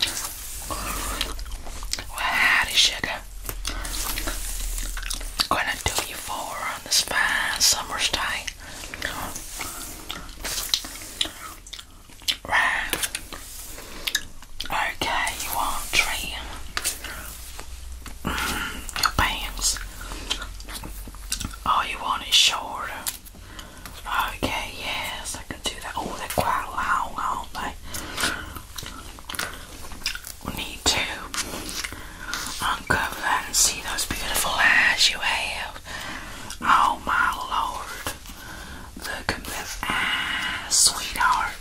Well, howdy, sugar. Gonna do you for on this fine summer's day. Right. Okay, you want trim your pants. All you want is short. Okay, yes, I can do that. Oh, they're quite loud, aren't they? need to uncover and see those beautiful eyes you have. Oh, my lord. Look at those sweetheart.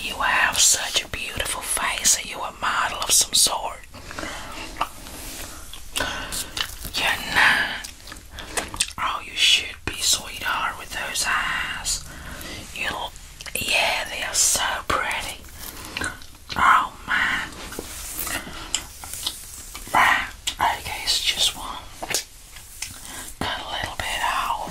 You have such a beautiful face. Are you a model of some sort? You're not. Oh, you should be, sweetheart, with those eyes. You look, yeah, they are so pretty. Oh, my. Right, okay, it's just one. Cut a little bit off.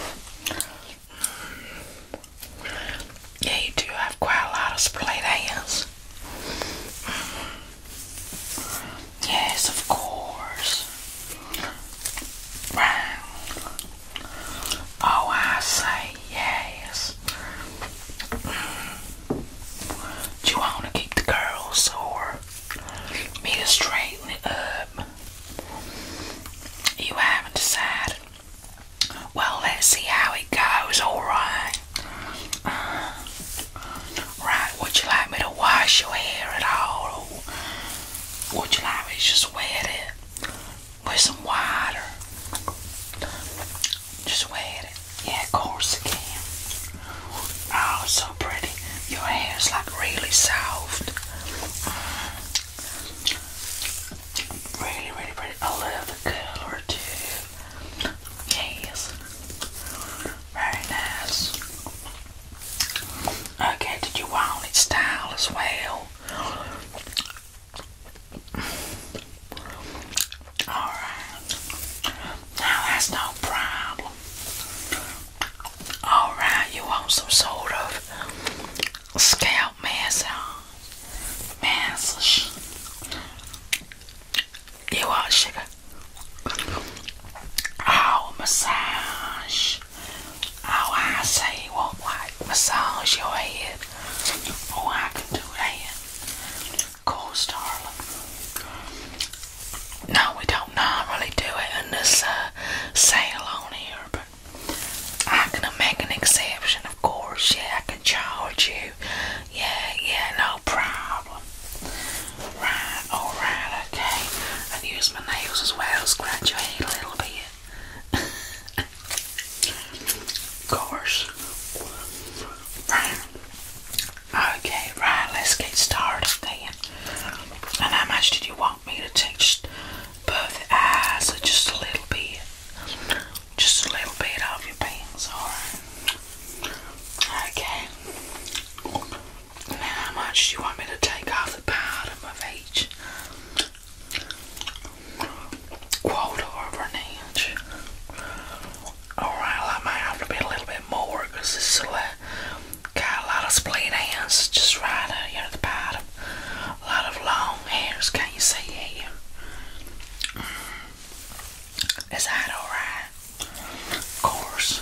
Yeah, you do have quite a lot of split ends. Yes, of course. Oh, I say yes. Do you want to keep the girls or me to straighten it up? You haven't decided. Well, let's see how it goes, alright? Right, would you like me to wash your hair at all? Would you like me to just wet it with some water? Just wet it. Yeah, course you can. Oh, so pretty. Your hair's like really soft. Really, really pretty. I love the color too. Yes. Very nice. Okay, did you want its style as well? Alright. Now that's no problem. Alright, you want some sort of scalp massage. Massage. You are sugar. Oh, massage. Oh, I see what like massage your head. Oh, I can do that. Course, darling. No, we don't normally do it in this uh, sale on here, but I'm gonna make an exception, of course. Yeah, I can charge you. Yeah, yeah, no problem. Right, alright, okay. And use my nails as well, scratch your head a little bit. of course. Right. Okay, right, let's get started then. And how much did you want me to teach both eyes or just a little bit? Just a little bit of your pants, alright? Okay. And how much do you want me to take off the bottom of each quarter of an inch? Alright, I might have to be a little bit more this is a a lot of split ends just right out here the bottom. A lot of long hairs, can you see here? Is that alright? Of course.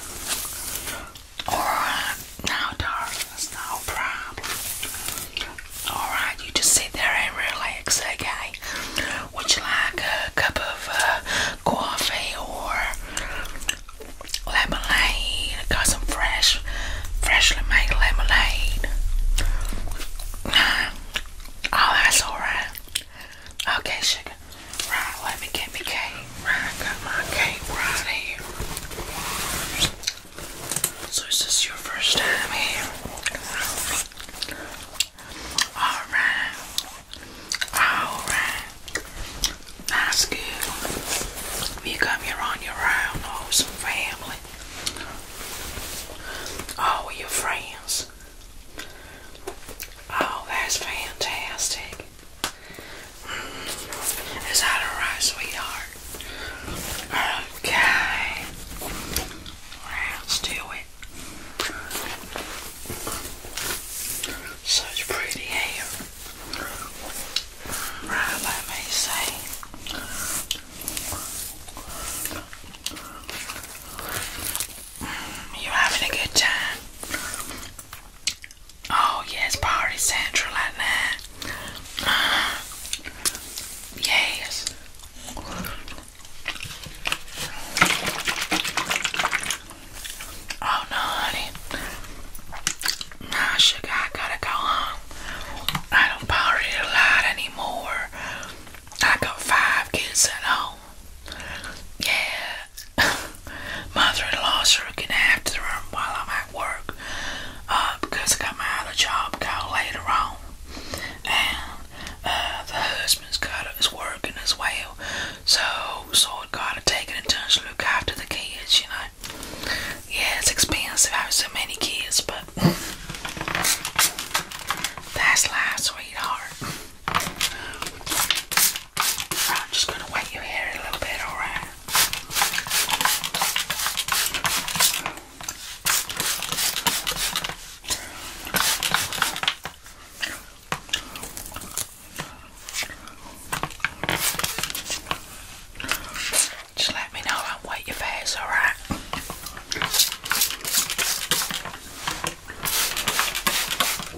Alright, now darling, no problem. Alright, you just sit there and relax, okay? Would you like a cup of uh, coffee or lemonade? got some fresh, freshly made lemonade. Oh, that's alright. Okay, sugar. Right, let me get me cake. Right, I got my cake right here. So is this your first time here? Alright. Alright. That's good. You come here on your own or some family. Oh, your friends. Oh, that's fantastic. Is that alright, sweetheart? Okay. Let's do it. Such pretty hair. Right, let me see. You having a good time? Oh yes, party central like that. yes. Oh no, honey. Nah, sugar, I gotta go home. I don't party a lot anymore. I got five kids at home yeah, mother-in-law's looking after her while I'm at work uh, because I got my other job called later on, and uh, the husband's got his working as well, so so I gotta take it in turns to look after the kids, you know. Yeah, it's expensive having so many kids, but that's life, sweetheart. I'm just going to wet your hair a little bit, alright? Just let me know and wait your face, alright?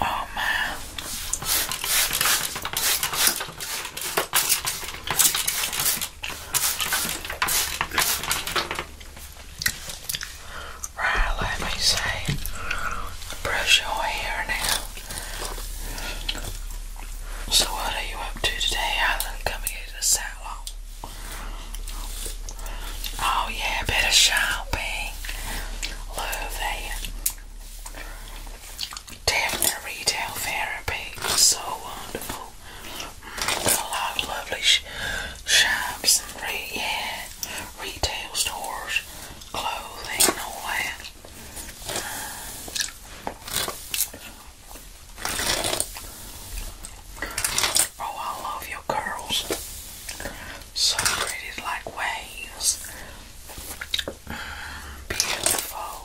Oh man. Right, let me say, brush your hair now. So, what are you up to today, Alan? Coming into the salon. Oh, yeah, bit of shopping. Love that. Definite retail therapy so wonderful. Mm, a lot of lovely shops yeah, retail stores, clothing all that. Mm. Oh, I love your curls. So pretty, like waves. beautiful.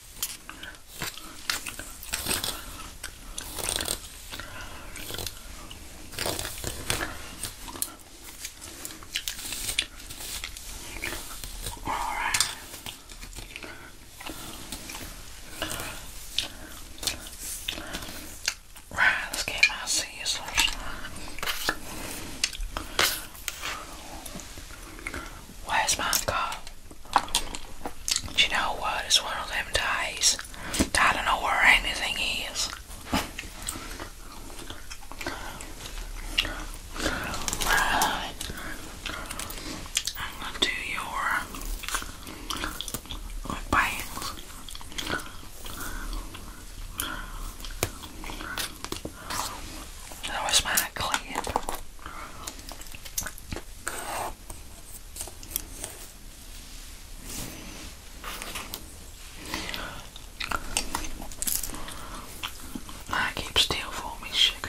All right. Right, let's get my scissors. Where's my car? Do you know what? It's one of them days. I don't know where anything is. I'm gonna do your bangs. That my clip. Now keep still for me, sugar.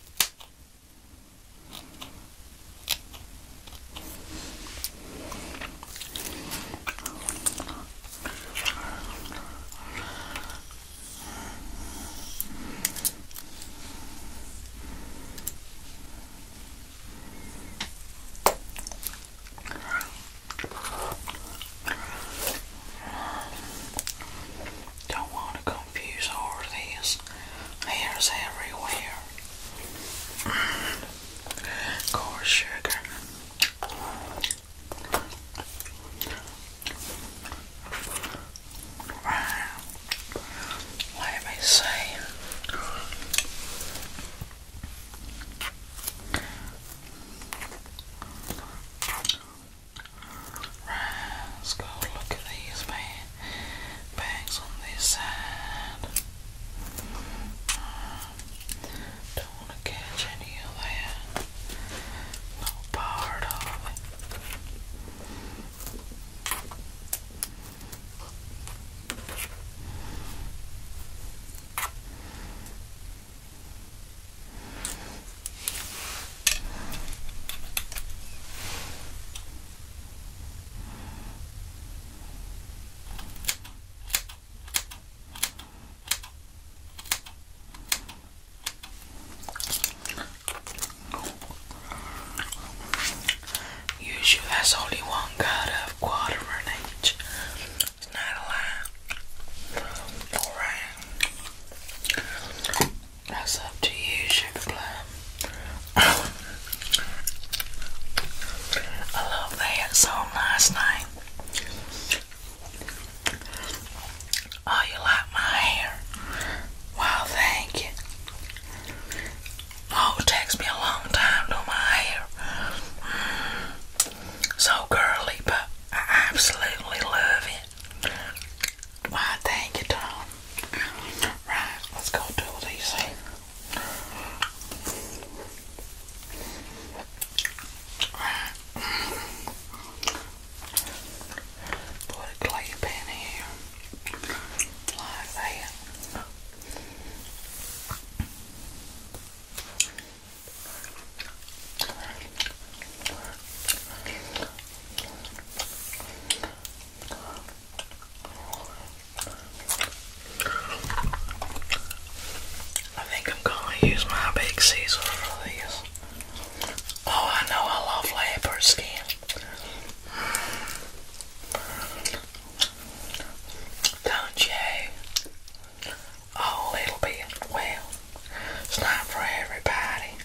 Don't want to go confused over this. Hairs everywhere. Coarse mm. sugar. Let me see let's go look at these man. bags on this side. don't want to catch any of that. No part of it. Usually has only one cut of quarter It's not a Alright. That's up to you, sugar plum. I love that song last night. Oh, you like my hair? Wow, thank you. Oh, it takes me a long time to do my hair. Mm. so girly, but I absolutely love it. Why, thank you, Tom. Right, let's go do these Put a clay here. Like that. I think I'm gonna use my big caesar for these. Oh, I know I love leopard skin. Don't you? Oh, a little bit. Well, it's not for everybody.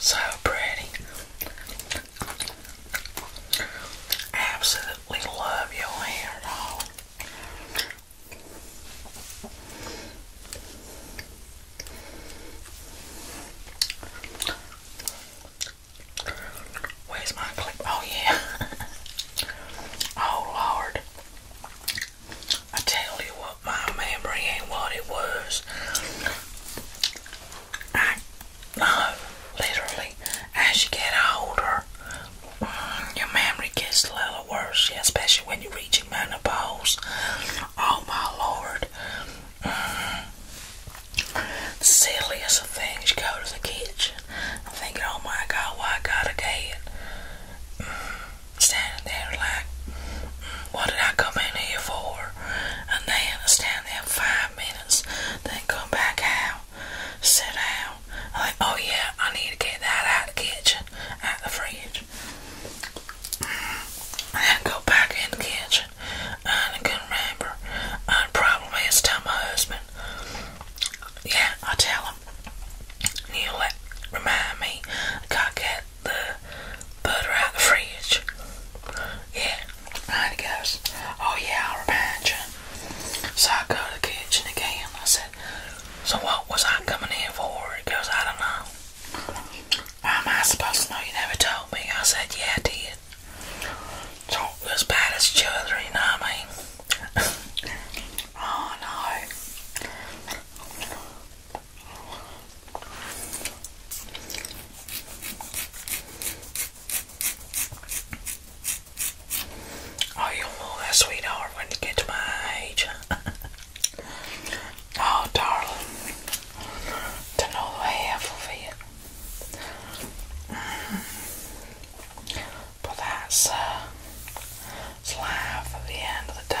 So pretty. Absolutely love your hair, doll. Where's my clip? Oh yeah. oh Lord. I tell you what, my memory ain't what it was. I no, uh, literally, as you get older, mm, your memory gets a little worse, especially when you're reaching menopause. Oh my Lord silliest of things, you go to the kitchen, I'm thinking, oh my god, why I got a dead? Standing there like, what did I come in here for? And then I stand there five minutes, then come back out, sit down. I think, oh yeah, I need to get that out of the kitchen, out of the fridge. And go back in the kitchen. I can not remember. I uh, probably tell my husband. Yeah, I tell him. He'll remind me. I got get the butter out the fridge. Yeah. And he goes, Oh yeah, I'll remind you. So I go to the kitchen again. I said, So what was I coming in for? He goes, I don't know. Am I supposed to know you never told me? I said, Yeah, I did it. So as bad as children, I mean? oh no. Oh, you'll move that sweetheart when you get to my age. oh, darling, to know the half of it. But that's uh, life at the end of the day.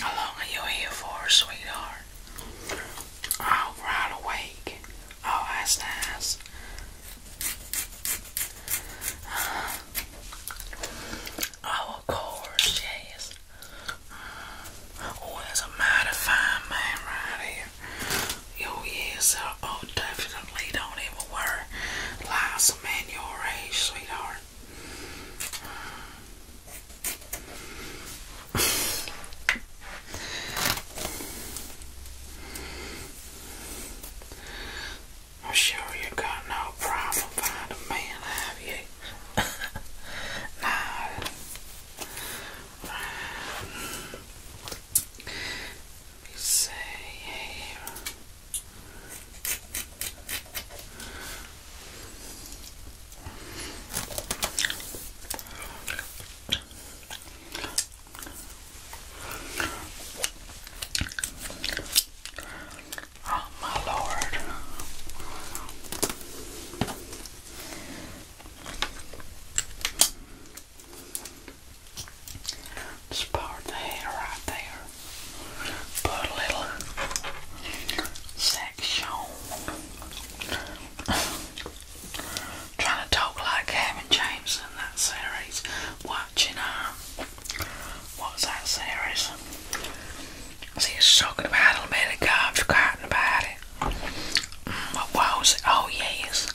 How long are you here for, sweetheart? All wide awake, all eyes nice. of course, yes. Oh, there's a mighty fine man right here here. Your ears are oh, definitely don't even worry. Liza, man, your age, sweetheart. I'm sure you got no problem finding a man, have you? nah. Let me see here. Oh, my Lord. Just part the hair right there. Put a little section. Trying to talk like Kevin James in that series. Watching um what's that series? See it's talking about a minute ago, I've forgotten about it. Mm, what was it? Oh yes.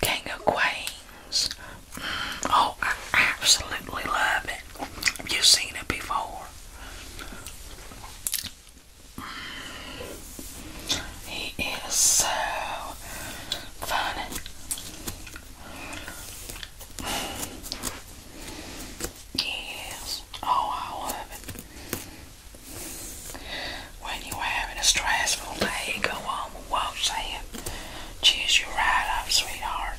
King of Queens. Mm, oh, I absolutely love it. you Have seen it before? Mm, he is so funny. yes. Mm, oh, I love it. When you are having a stressful day, go home and watch them. Cheers you right up, sweetheart.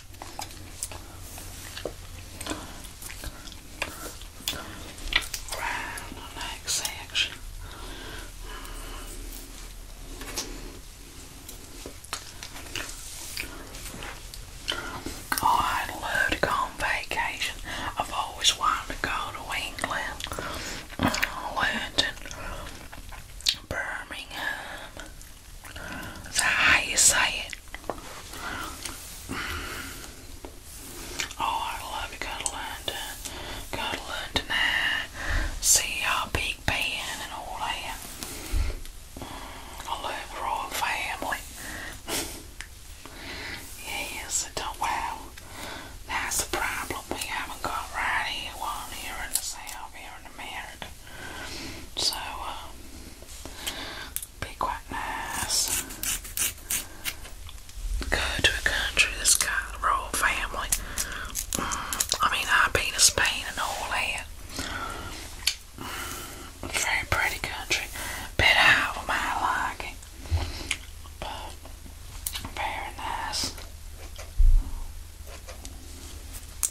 Round the neck section. Oh, i love to go on vacation. I've always wanted to go to England, uh, London, Birmingham. That's how you say it. Oh, I love you. Gotta learn see our Big Ben and all that. I love the royal family. yes, it don't, wow. That's the problem we haven't got right here, one here in the South, here in America. So, um, be Go to a country that's got a royal family. Mm, I mean, I've been to Spain and all that. Mm, very pretty country. Bit out of my liking. But very nice.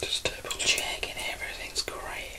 Just double checking everything's great.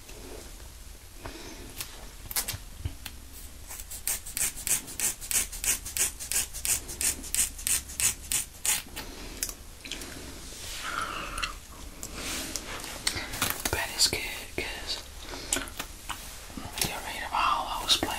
But it's good because get rid those split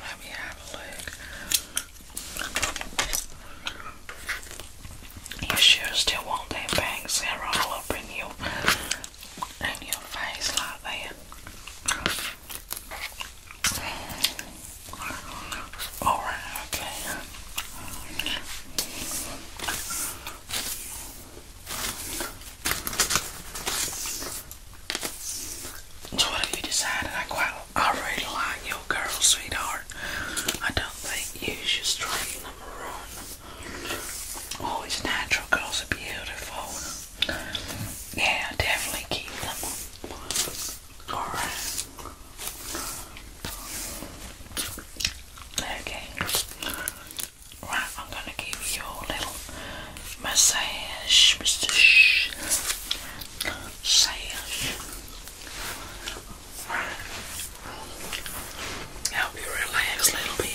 Let me have a look. You sure still want that bang serum all up in you in your face like that? Alright, okay. So what you decided? I quite, I really like your girl, sweetheart. I don't think you should straighten them or run them. Oh, it's natural. Girls are beautiful. Yeah, definitely keep them. Alright. Okay. Right, I'm gonna give you a little massage, Mr. Shh. Massage. Right. Help you relax a little bit.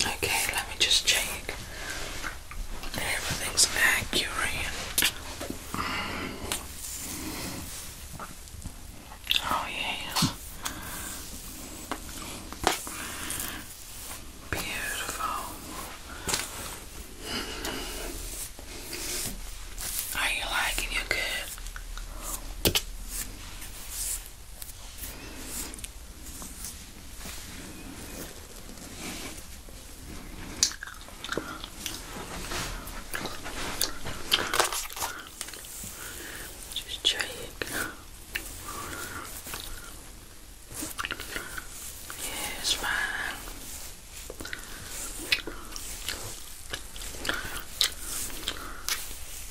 Okay, let me just check. Everything's accurate. Oh, yeah. Beautiful. Are you liking your good? Just try it. Yeah,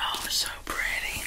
Oh, so pretty.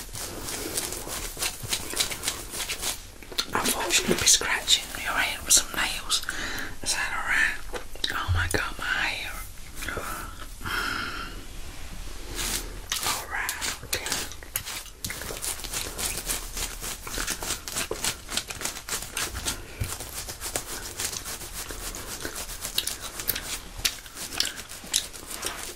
Unfortunately, be scratching your hair with some nails. Is that alright? Oh my god, my hair. Alright,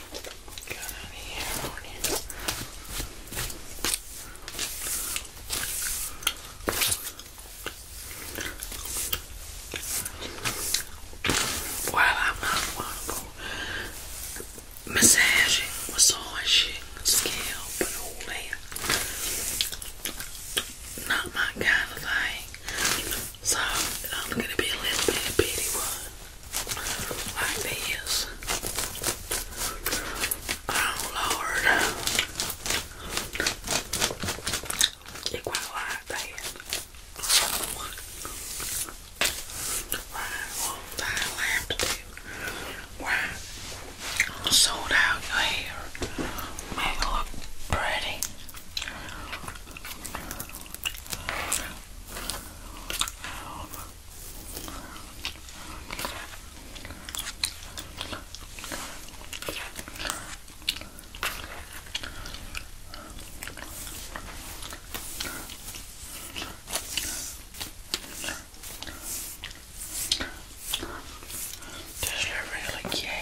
Got I'm not wonderful massaging, massaging, scalp, and all that. Not my kind of thing. So, I'm going to be a little bit of pity one like these. Oh Lord, you quite like that. Right, what I'll have to do? Right, i out your hair, make it look pretty. This is really cute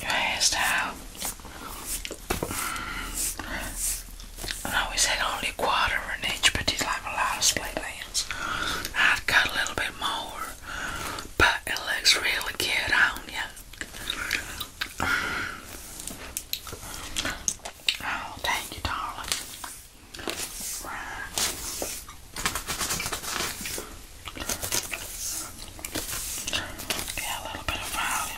your hairstyle. Mm. I always had only quarter an inch, but it's like a lot of split ends. I've got a little bit more, but it looks really good on you. Oh, thank you, darling. Right. a little bit of volume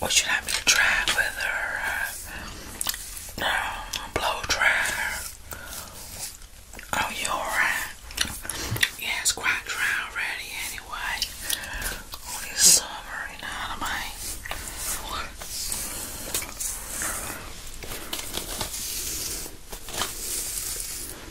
What should I be trying with her? Uh, blow dryer. Oh, you alright? Yeah, it's quite dry already anyway. Oh, it's summer, you I mean?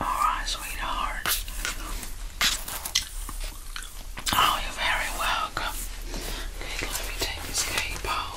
Alright, sweetheart. Oh, you're very welcome. let me take this cape off.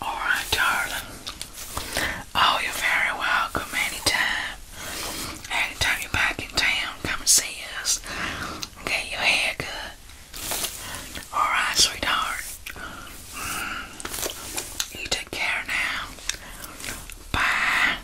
All right, darling. Oh, you're very welcome anytime. Anytime you're back in town, come and see us. Get your hair good. All right, sweetheart. Mm. You take care now. Bye.